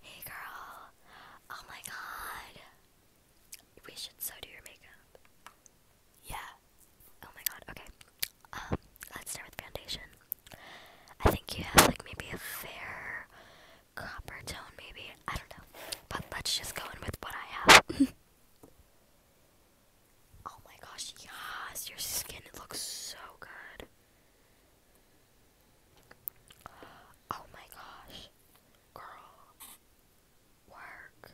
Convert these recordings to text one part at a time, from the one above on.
Hey girl, oh my god. We should so do your makeup. Yeah. Oh my god, okay. Um, let's start with foundation. I think you have like maybe a fair copper tone, maybe. I don't know. But let's just go in with what I have. Oh my gosh, yes, your skin looks so good. Oh my gosh, girl, work.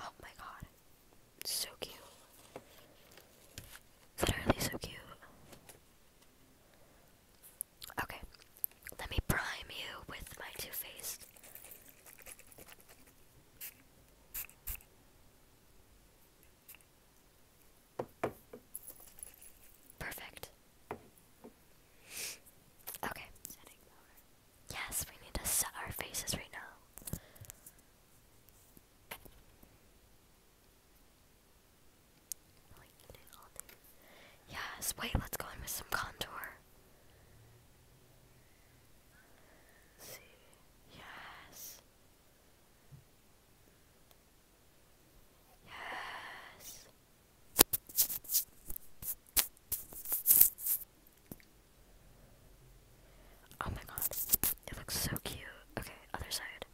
Oh my god, so cute. Literally so cute. Okay, let me prime you with my Too Faced. Perfect. Okay, Yes, we need to set our faces right now. Yes, wait, let's go in with some contour. Yes. Yes. Oh my god. It looks so cute. Okay, other side.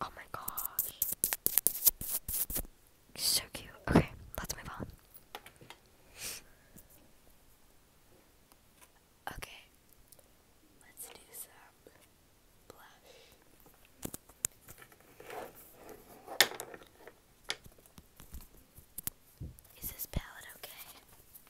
Oh my gosh. So cute. Okay, let's move on. Okay, let's do some blush. Is this palette okay?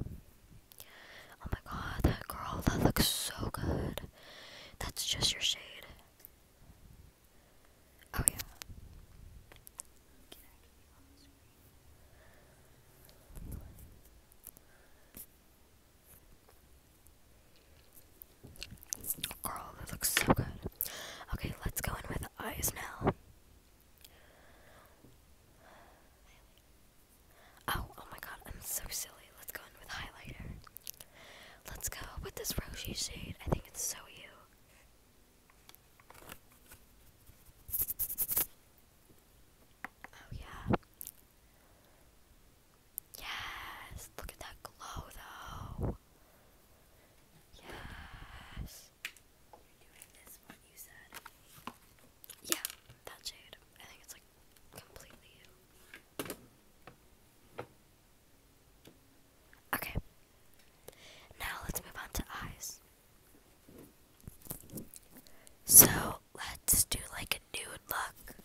Oh my god, that girl, that looks so good. That's just your shade. Oh yeah. Oh, that looks so good. Okay, let's go in with eyes now. Oh, oh my god, I'm so silly. Let's go in with highlighter. Let's go with this Roshi shade. I think it's so you. Oh yeah. Yes, look at that glow though. Yes. Yeah, that jade. I think it's like completely you. Okay. Now let's move on to eyes. So let's do like a nude look.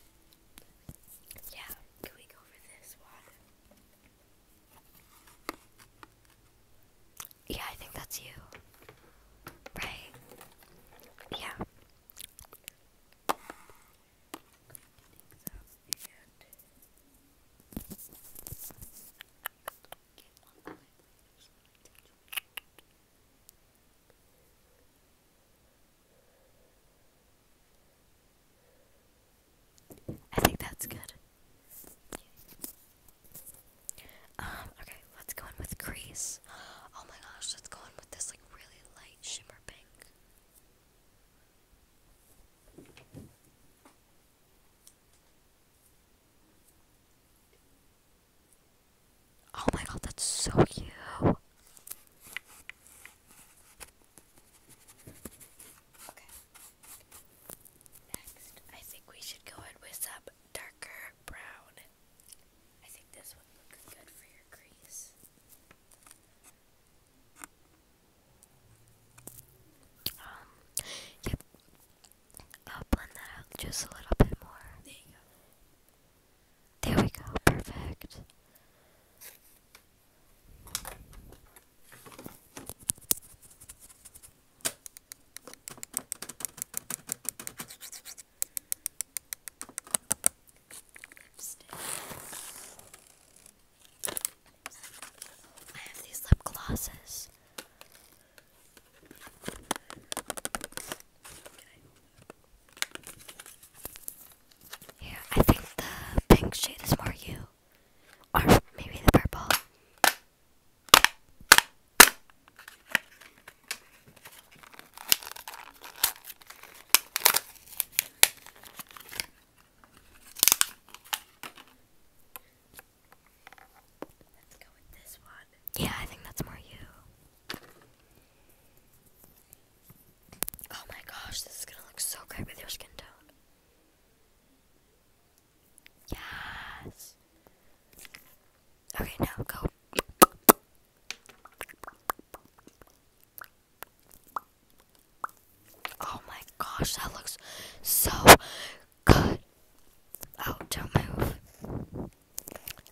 Yeah, can we go for this one? Yeah, I think that's you. Right? Yeah. I think that's good. Um, okay, let's go in with crease. Oh my gosh, let's go in with this like really light shimmer pink. Oh my god, that's so cute. Okay. Next, I think we should go in with some darker brown. I think this would look good for your crease. Um, yep. I'll blend that out just a little bit more. There you go. There we go, perfect. I have these lip glosses. Here, I think the pink shade is more you. Or maybe the purple. Yeah, I think that's more you. Oh my gosh, this is gonna look so great with your skin tone. Yes. Okay, now go. Oh my gosh, that looks so good. Oh, do move.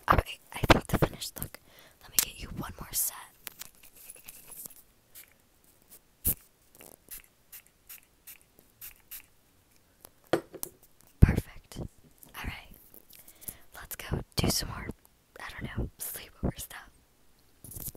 Alright, I think the finished look. Let me get you one more set. Perfect. Alright. Let's go do some more, I don't know, sleepover stuff.